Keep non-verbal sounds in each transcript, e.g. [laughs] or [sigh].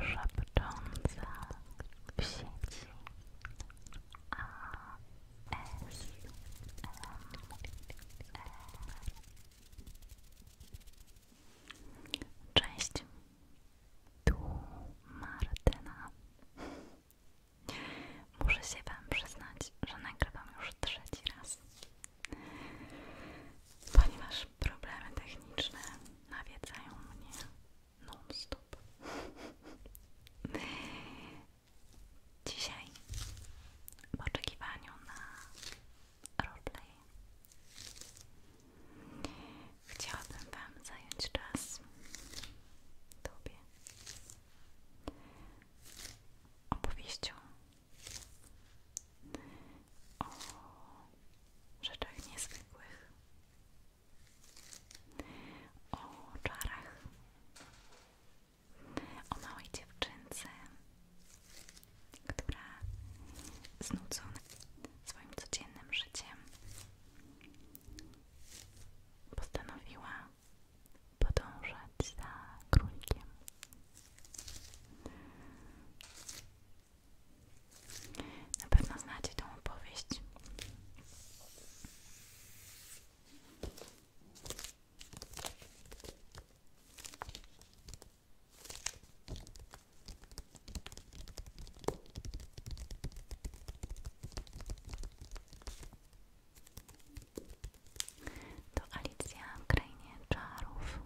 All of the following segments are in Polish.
szepcząca w sieci ASMR. E. Cześć, tu Muszę się Wam przyznać, że nagrywam już trzeci raz ponieważ problemy techniczne nawiedzają mnie non-stop. Dzisiaj w oczekiwaniu na roleplay chciałabym Wam zająć czas Tobie opowieścią o rzeczach niezwykłych, o czarach, o małej dziewczynce, która znudzona swoim codziennym życiem postanowiła podążać za królikiem. Na pewno znacie tą opowieść. To Alicja w Krainie Czarów.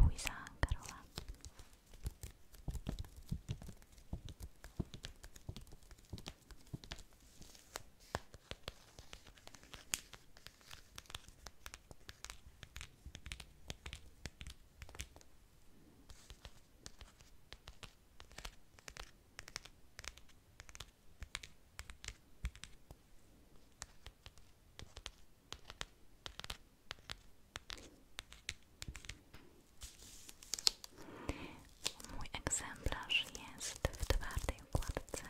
Luisa Karola. Mój egzemplarz jest w twardej układce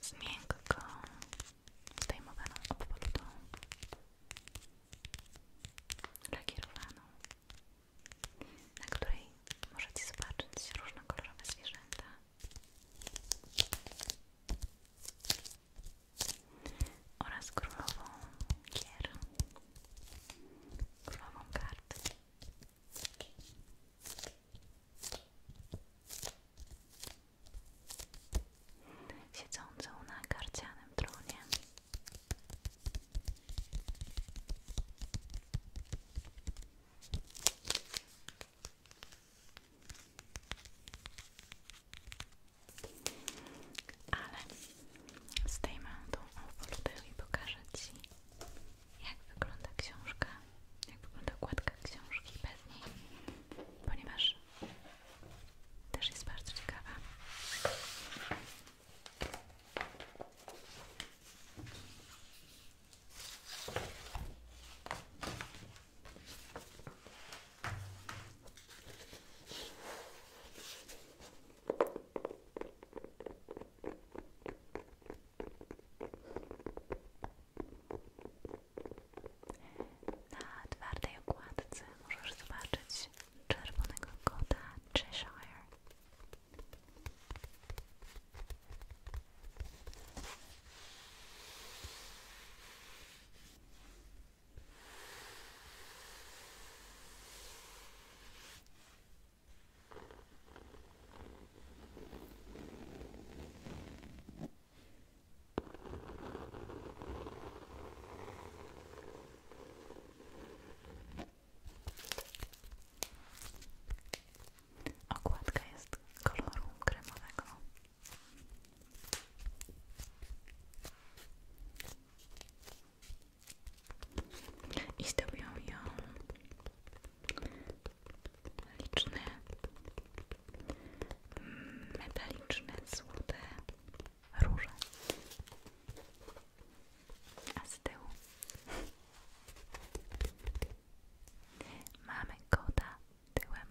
z miękką, zdejmowaną obwolutą, lakierowaną, na której możecie zobaczyć różnokolorowe zwierzęta. Oraz królową gier, królową kart siedzącą na karcianym tronie. Ale zdejmę tą owodę i pokażę Ci jak wygląda książka, jak wygląda okładka książki bez niej, ponieważ też jest bardzo ciekawa. Na twardej okładce możesz zobaczyć czerwonego kota Cheshire. Okładka jest koloru kremowego. I zdobią ją liczne mm, metaliczne, złote róże a z tyłu mamy kota tyłem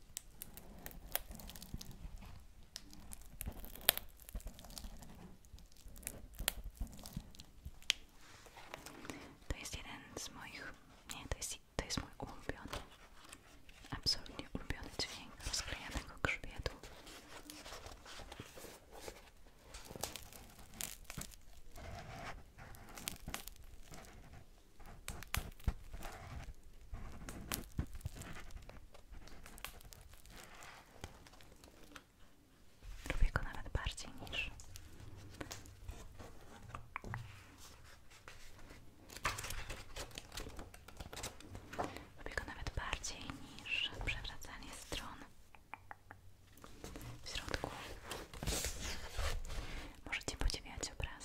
To jest jeden z moich, nie, to jest, to jest mój ulubiony, absolutnie ulubiony dźwięk rozklejanego grzbietu. Lubię go nawet bardziej niż Lubię go nawet bardziej niż przewracanie stron w środku. Możecie podziwiać obraz.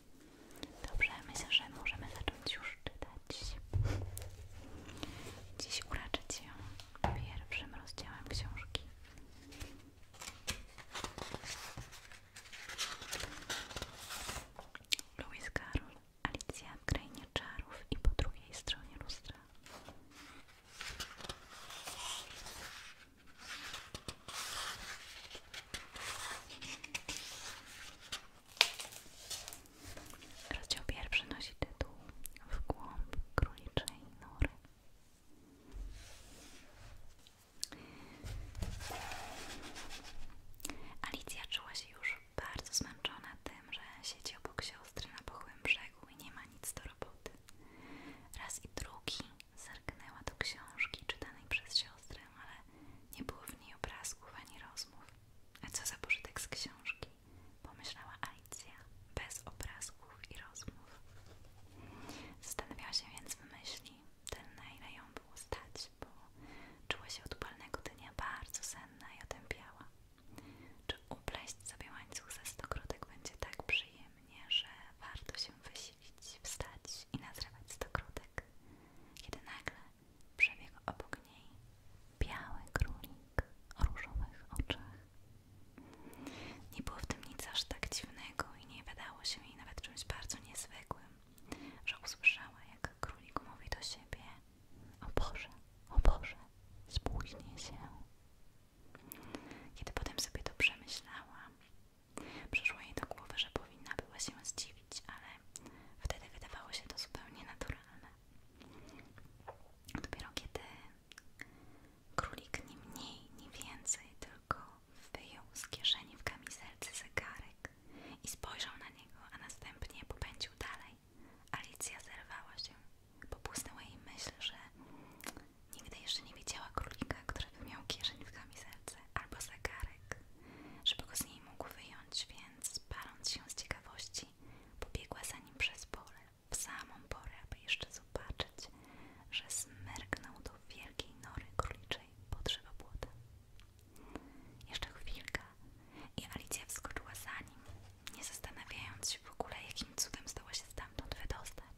Dobrze, myślę, że możemy zacząć już czytać. Dziś uraczyć ją pierwszym rozdziałem książki. Louis Carroll, Alicja w krainie czarów i po drugiej stronie lustra. Rozdział pierwszy nosi tytuł W głąb króliczej nory. Alicja czuła się już bardzo zmęczona tym, że siedzi obok siostry na pochłym brzegu i nie ma nic do roboty. Raz i drugi Zerknęła do książki czytanej przez siostrę, ale nie było w niej obrazków ani rozmów. A co za pożytek z książki? Pomyślała Alicja, bez obrazków i rozmów. Zastanawiała się więc w myśli, tyle na ile ją było stać, bo czuła się od odpalnego dnia bardzo senna i otępiała. Czy upleść sobie łańcuch ze stokrotek będzie tak przyjemnie, że warto się wysilić, wstać i nazywać nazrywać stokrotek, kiedy nagle przebiegł obok niej biały królik o różowych oczach. Nie było w tym nic aż tak dziwnego i nie wydało się jej nawet czymś bardzo niezwykłym, że usłyszała, jak królik mówi do siebie o Boże, o Boże, spóźnię się. Kiedy potem sobie to przemyślała, Przyszło jej do głowy, że powinna była się zdziwić, ale wtedy wydawało się to zupełnie naturalne. Dopiero kiedy królik ni mniej, ni więcej, tylko wyjął z kieszeni w kamizelce zegarek i spojrzał na niego, a następnie popędził dalej. Alicja zerwała się. Popłysnęła jej myśl, że Nigdy jeszcze nie widziała królika, który by miał kieszeń w kamizelce albo zegarek, żeby go z niej mógł wyjąć, więc paląc się z ciekawości, pobiegła za nim przez pole w samą porę, aby jeszcze zobaczyć, że zmerknął do wielkiej nory króliczej pod drzewopłotem. Jeszcze chwilka i Alicja wskoczyła za nim, nie zastanawiając się w ogóle, jakim cudem zdoła się stamtąd wydostać.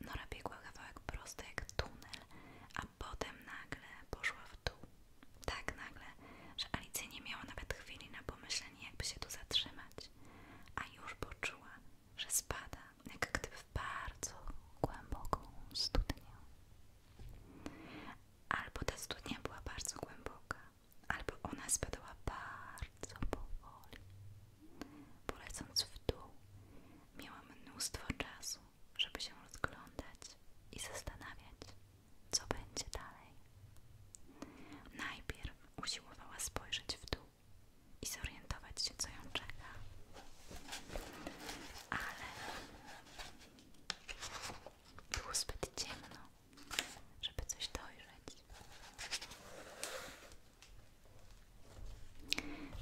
Nora biegła kawałek prosto jak tunel, a potem nagle poszła w dół. Tak nagle, że Alicja nie miała nawet chwili na pomyślenie, jakby się tu zatrzymać, a już poczuła, że spada, jak gdyby w bardzo głęboką studnię. Albo ta studnia była bardzo głęboka, albo ona spadła bardzo powoli. Polecąc w dół, miałam mnóstwo czasu, żeby się rozglądać i zastanawiać, co będzie dalej. Najpierw usiłowała spojrzeć w dół i zorientować się, co ją czeka. Ale było zbyt ciemno, żeby coś dojrzeć.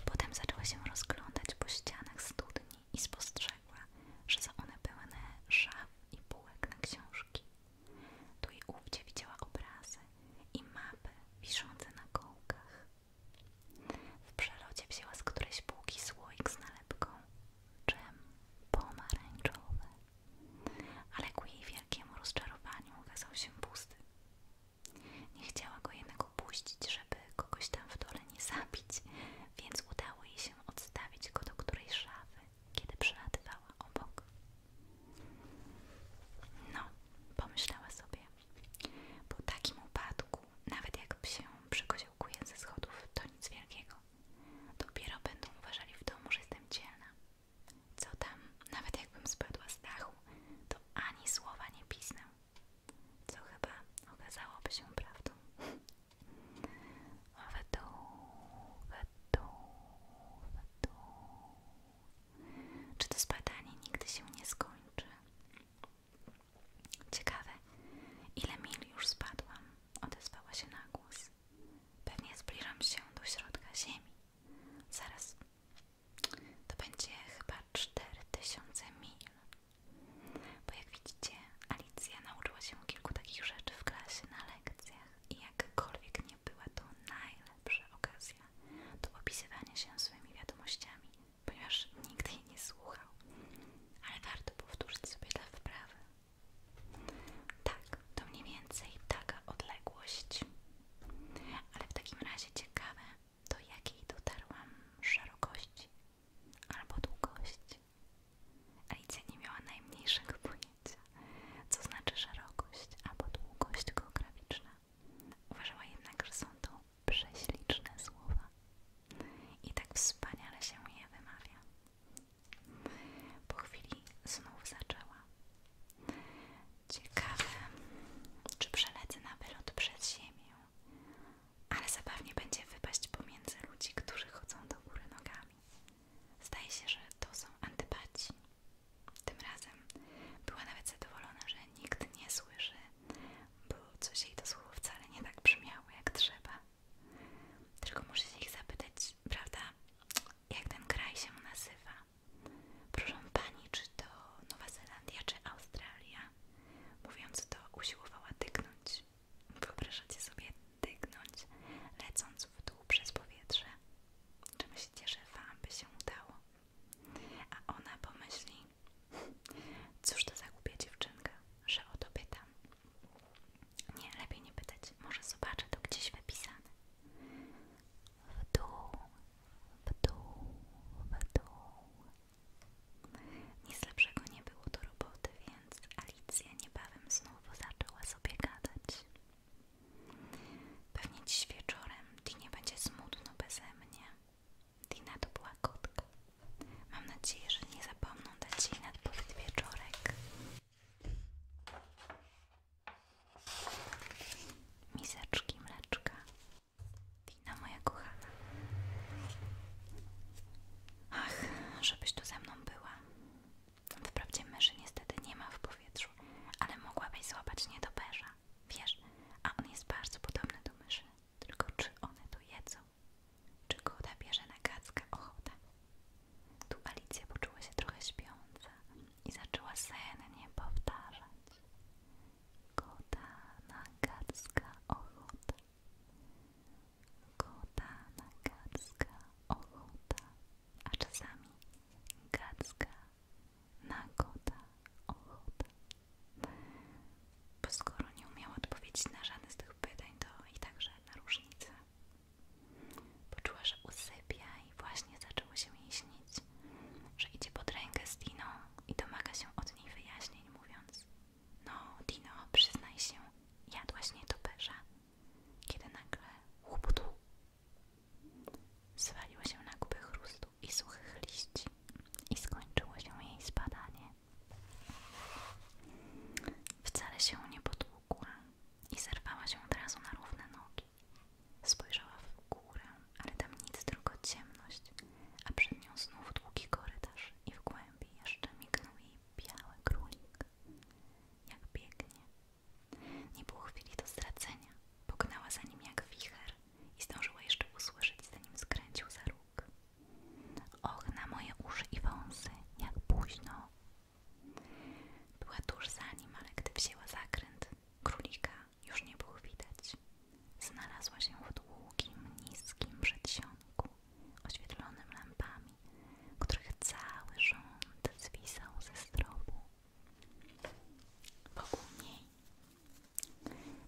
Potem zaczęła się rozglądać po ścianach studni i spostrzegła, że są one pełne szaf i bułek na książki. Tu i ówdzie widziała obrazy i mapy wiszące na kołkach. W przelocie wzięła z którejś półki słoik z nalepką czym pomarańczowy. Ale ku jej wielkiemu rozczarowaniu okazał się pusty. Nie chciała go jednak opuścić, żeby kogoś tam w dole nie zabić, więc udało jej się odstawić go do którejś szafy, kiedy przelatywała obok. No, pomyślała sobie, po takim upadku, nawet jak się przykoziołkuje ze schodów, to nic wielkiego. Dopiero będą uważali w domu, że jestem dzielna. Co tam, nawet jakbym spadła z dachu, to ani słowa nie pisnę, co chyba okazałoby się prawdą. Wydół, wydół, wydół. Czy to spadanie nigdy się nie skończy? Ciekawe, ile mil już spadłam, odezwała się na głos. Pewnie zbliżam się do środka ziemi. Zaraz. To będzie chyba 4000 mil. Bo jak widzicie, Alicja nauczyła się kilku takich rzeczy w klasie na lekcjach i jakkolwiek nie była to najlepsza okazja do opisywania się swoimi wiadomościami, ponieważ nikt jej nie słuchał. Ale warto powtórzyć sobie dla wprawy. Tak, to mniej więcej taka odległość. Ale w takim razie ciekawe, do jakiej dotarłam szerokości albo długości. Alicja nie miała najmniejszego pojęcia, co znaczy szerokość albo długość geograficzna. Uważała jednak, że są to prześliczne słowa i tak wspaniale się je wymawia. Po chwili znów zaczęła. Ciekawe, czy przelecę na wylot przed ziemię, ale zabawnie będzie wypaść pomiędzy ludzi, którzy chodzą do góry nogami. Zdaje się, że to są antypaci. Tym razem była nawet zadowolona, że nikt nie słyszy, bo coś jej to słowo wcale nie tak brzmiało jak trzeba. Tylko muszę się ich zapytać, prawda, jak ten kraj się nazywa. Proszę pani, czy to Nowa Zelandia, czy Australia? Mówiąc to, usiłowała tyknąć. Wyobrażacie sobie tyknąć, lecąc w dół przez powietrze. Czy myślicie, że wam by się udało. A ona pomyśli, cóż to za głupia dziewczynka, że o to pytam. Nie, lepiej nie pytać, może zobaczę to gdzieś wypisane w dół, w dół, w dół. Nic lepszego nie było do roboty, więc Alicja niebawem znowu zaczęła sobie gadać. Pewnie dziś wieczorem Dinie będzie smutno beze mnie. Dina to była kotka. Mam nadzieję, że nie zapomnę, dać jej nadpowiedź wieczorek miseczki mleczka, wina moja kochana. Ach, żebyś tu ze mną była. Wprawdzie myszy niestety nie ma w powietrzu, ale mogłabyś złapać nietoperza. Wiesz, a on jest bardzo podobny do myszy. Tylko czy one tu jedzą? Czy kota bierze na kackę ochotę? Tu Alicja poczuła się trochę śpiąca i zaczęła sennie powtarzać. Kota nagacka gota na nagacka ochota. A czasami gacka na gota ochota. Bo skoro nie umiała odpowiedzieć na żadne z tych pytań, to i także na różnica. Poczuła, że usypia i właśnie zaczęło się jej śnić, że idzie pod rękę z Dino i domaga się od niej wyjaśnień, mówiąc No, Dino, przyznaj się, jadłaś nietoperza, kiedy nagle łuptu zwaliła się na kupę chrustu i suchych liści i skończyło się jej spadanie. Wcale się nie potłukła i zerwała się od razu na równe nogi. Spojrzała w górę, ale tam nic, tylko ciemność, a przed nią znów długi korytarz i w głębi jeszcze mignął jej biały królik. Jak biegnie. Nie było chwili do stracenia. Pognała za nim jak wicher i zdążyła jeszcze usłyszeć, zanim skręcił za róg. Och, na moje uszy i wąsy, jak późno. Była tuż za nim, ale gdy wzięła zakręt królika, już nie było widać. Znalazła się w długim, niskim przedsionku, oświetlonym lampami, których cały rząd zwisał ze stropu. Wokół niej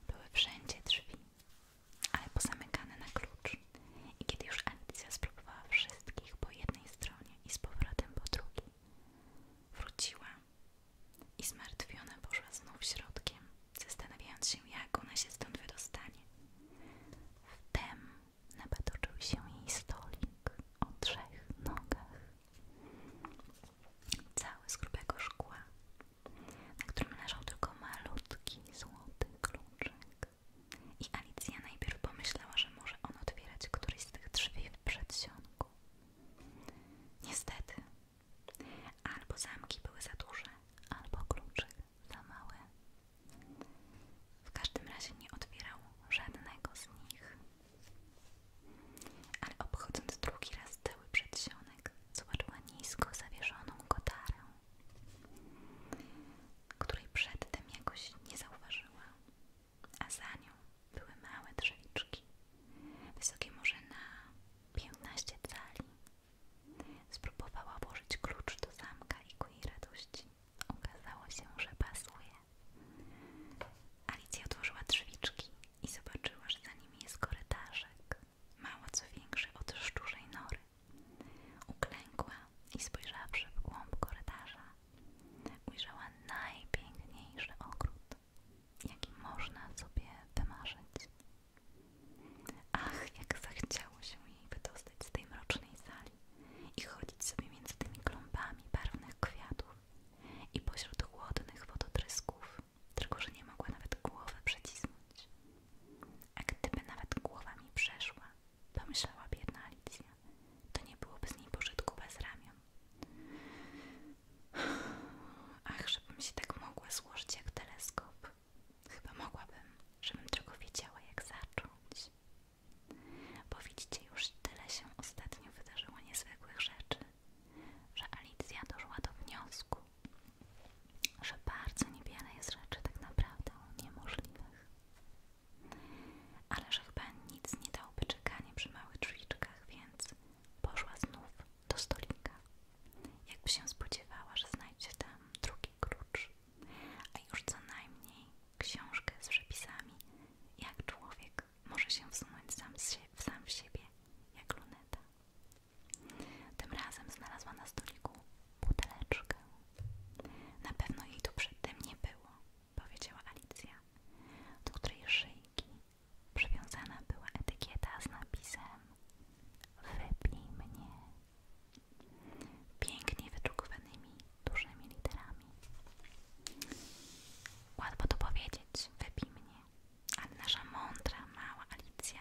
były wszędzie drzwi, ale pozamykane na klucz. I kiedy już Alicja spróbowała wszystkich po jednej stronie i z powrotem po drugiej, wróciła i zmartwiona poszła znów środkiem, zastanawiając się, jak ona się stąd wydostanie. Wtem napatoczył się jej stolik o trzech nogach, cały z grubego szkła, na którym leżał tylko malutki złoty kluczek. I Alicja najpierw pomyślała, że może on otwierać któryś z tych drzwi w przedsionku, Niestety, albo zamki były za duże, albo kluczyk za małe. W każdym razie nie otwierał żadnego z nich. Ale obchodząc drugi raz cały przedsionek, zobaczyła nisko zawieszoną kotarę, której przedtem jakoś nie zauważyła a za nią były małe drzewiczki, wysokie może na 15 cali. Spróbowała włożyć klucz do zamka i ku jej radości okazało się, że pasuje. Alicja otworzyła drzwiczki i zobaczyła, że za nimi jest korytarzek, mało co większy od szczurzej nory. Uklękła i spojrzawszy w głąb korytarza, ujrzała najpiękniejszy ogród, jaki można sobie wymarzyć. Ach, jak zachciało się jej wydostać z tej mrocznej sali i chodzić sobie między tymi kląbami barwnych kwiatów i pośród chłodnych wodotrysków, tylko że nie mogła nawet głowy przycisnąć. A gdyby nawet głowa mi przeszła, pomyślała biedna Alicja, to nie byłoby z niej pożytku bez ramion. Ach, żebym się tak mogła złożyć jak teleskop. Chyba mogłabym, żebym tylko wiedziała jak zacząć. Bo widzicie, już tyle się ostatnio wydarzyło niezwykłych rzeczy, że Alicja doszła do wniosku, że bardzo niewiele jest rzeczy tak naprawdę niemożliwych ale że chyba nic nie dałoby czekanie przy małych drzwiczkach, więc poszła znów do stolika. Jakby się spodziewała, że znajdzie tam drugi krucz a już co najmniej książkę z przepisami, jak człowiek może się wsunąć sam, z sam w siebie, jak luneta. Tym razem znalazła na stoliku buteleczkę. Na pewno jej tu przedtem nie było powiedziała Alicja, do której szyjki przywiązana była etykieta z napisem Wypij mnie pięknie wydrukowanymi dużymi literami. Łatwo to powiedzieć, wypij mnie, ale nasza mądra, mała Alicja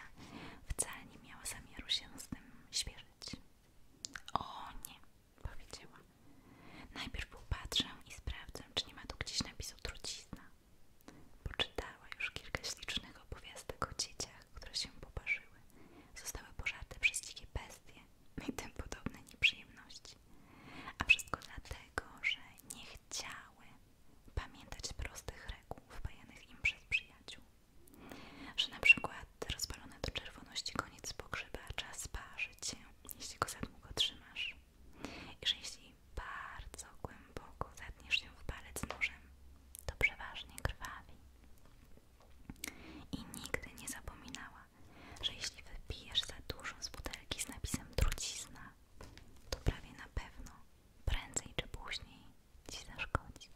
wcale nie miała zamiaru się z tym śpierzyć. O nie, powiedziała. Najpierw popatrzę i sprawdzę, czy nie ma tu gdzieś napisu trucizna. Poczytała już kilka ślicznych opowiastek o dzieciach, które się poparzyły. Zostały pożarte przez dzikie bestie [laughs] i tym podobne nieprzyjemności. A wszystko dlatego, że nie chciały pamiętać prostych reguł wpajanych im przez przyjaciół. Że na przykład rozpalone do czerwoności koniec pogrzebacza sparzy cię jeśli go za długo trzymasz i że jeśli bardzo głęboko zatniesz ją w palec nożem, to przeważnie krwawi. I nigdy nie zapominała, że jeśli wypijesz za dużo z butelki z napisem trucizna, to prawie na pewno, prędzej czy później ci zaszkodzi.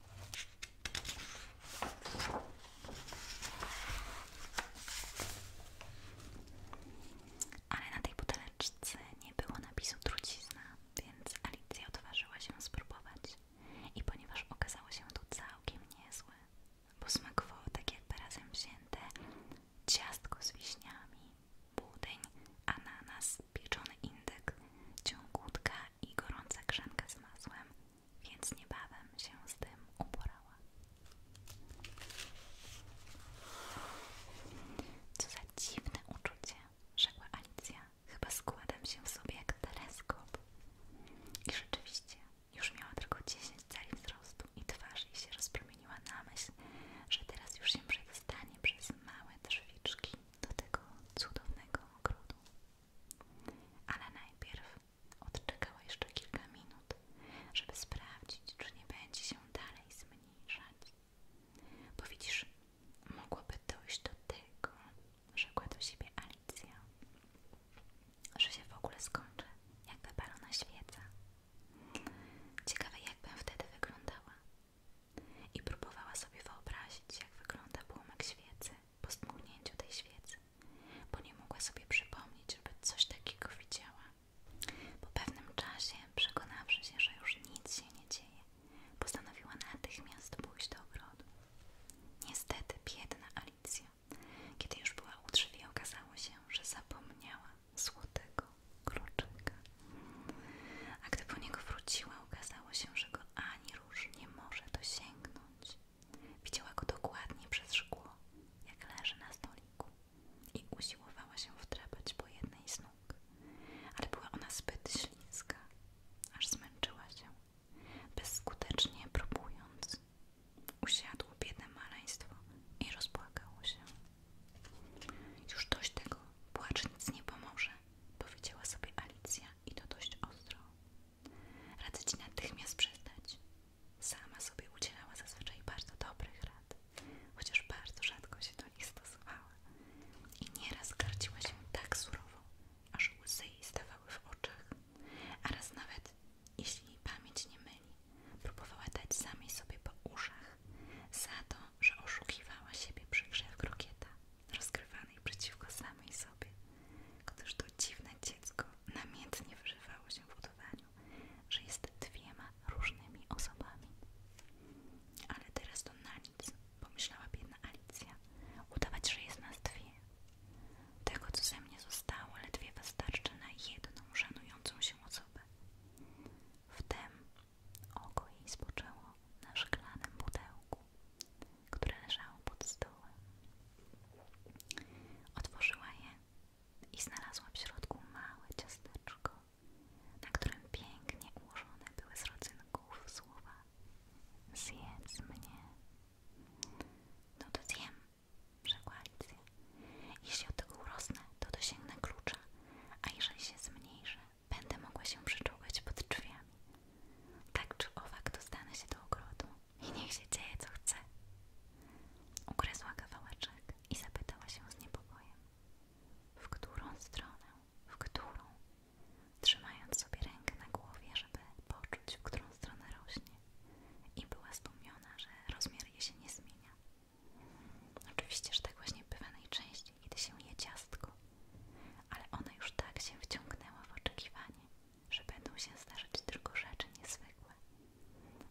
Ale na tej buteleczce nie było napisu trucizna, więc Alicja odważyła się spróbować. I ponieważ okazało się to całkiem niezłe, bo smakowało tak jakby razem wzięte ciastko z wiśniami, budyń, ananas, pieczony indyk, ciągutka i gorąca krzanka z masłem, więc niebawem się z tym uporała. Co za dziwne uczucie, rzekła Alicja. Chyba składam się w sobie jak teleskop. I rzeczywiście, już miała tylko 10 cali wzrostu i twarz jej się rozpromieniła na myśl, że teraz już się przedostanie przez małe drzwiczki do tego cudownego ogrodu. Ale najpierw Odczekała jeszcze kilka minut, żeby sprawdzić, czy nie będzie się dalej zmniejszać. Bo widzisz, mogłoby dojść do tego, rzekła do siebie Alicja, że się w ogóle skończy, jakby balona świeca. Ciekawe, jakbym wtedy wyglądała. I próbowała sobie wyobrazić, jak wygląda płomek świecy po stmugnięciu tej świecy bo nie mogła sobie przypomnieć, żeby coś takiego widziała. Po pewnym czasie, przekonawszy się, że już nic się nie dzieje, postanowiła natychmiast pójść do ogrodu. Niestety, biedna Alicja, kiedy już była u drzwi, okazało się, że zapomniała złotego kluczyka. A gdy po niego wróciła, okazało się, że go ani róż nie może dosięgnąć. Widziała go dokładnie przez szkło, jak leży na stoliku i usiłowała się wdrapać po jednej z nóg, ale była ona zbyt śliska, aż zmęczyła się, bezskutecznie próbując. Usiadło biedne maleństwo i rozpłakało się. Już dość tego, płacz nic nie pomoże, powiedziała sobie Alicja i to dość ostro. Radzę ci natychmiast przestać, Sama sobie udzielała zazwyczaj bardzo dobrych rad, chociaż bardzo rzadko się do nich stosowała i nieraz gardziła się tak surowo, aż łzy jej stawały w oczach, a raz nawet, jeśli jej pamięć nie myli, próbowała dać samej sobie po uszach za to, że oszukiwała siebie przy grze w krokieta, rozgrywanej przeciwko samej sobie. Gdyż to dziwne dziecko namiętnie wyżywało się w udawaniu, że jest dwiema różnymi osobami. Ale teraz to na nic, pomyślała biedna Alicja. Udawać, że jest nas dwie. Tego, co ze mnie zostało, ledwie wystarczy na jedną żenującą się osobę. Wtem oko jej spoczęło na szklanym pudełku, które leżało pod stołem. Otworzyła je i znalazłam w środku małe ciasteczko, na którym pięknie ułożone były z rodzynków słowa Zjedz mnie. No to zjem, rzekła Alicja. Jeśli od urosnę, to dosięgnę klucza, a jeżeli się zmniejszę, będę mogła się przyczółkać pod drzwiami. Tak czy owak dostanę się do ogrodu i niech się dzieje co chce. Ugryzła kawałeczek i zapytała się z niepokojem, w którą stronę, w którą, trzymając sobie rękę na głowie, żeby poczuć, w którą stronę rośnie. I była zdumiona, że rozmiar jej się nie zmienia. Oczywiście, że tak właśnie bywa najczęściej, kiedy się je ciastko, ale ona już tak się wciągnęła w oczekiwanie, że będą się zdarzać tylko rzeczy niezwykłe,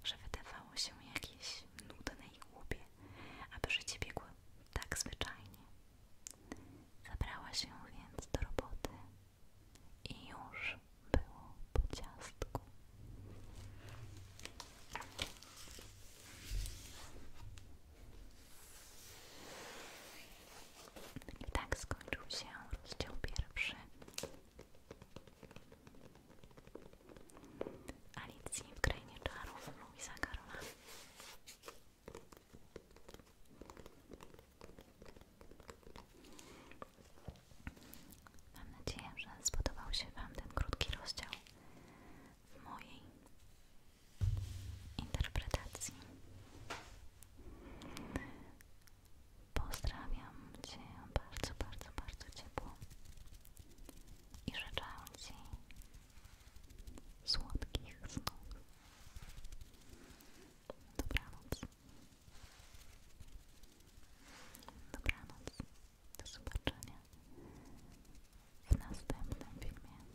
że wydawało się jakieś nudne i głupie, aby życie biegło tak zwyczajnie. Zabrała się więc do roboty i już było po ciastku. I tak skończył się rozdział pierwszy Alicji w Krainie Czarów Luisa Karola Mam nadzieję, że spodobał się Wam ten krótki rozdział mojej interpretacji Pozdrawiam Cię bardzo, bardzo, bardzo ciepło i życzę Ci słodkich snów. Dobranoc. Dobranoc. Do zobaczenia w następnym filmie.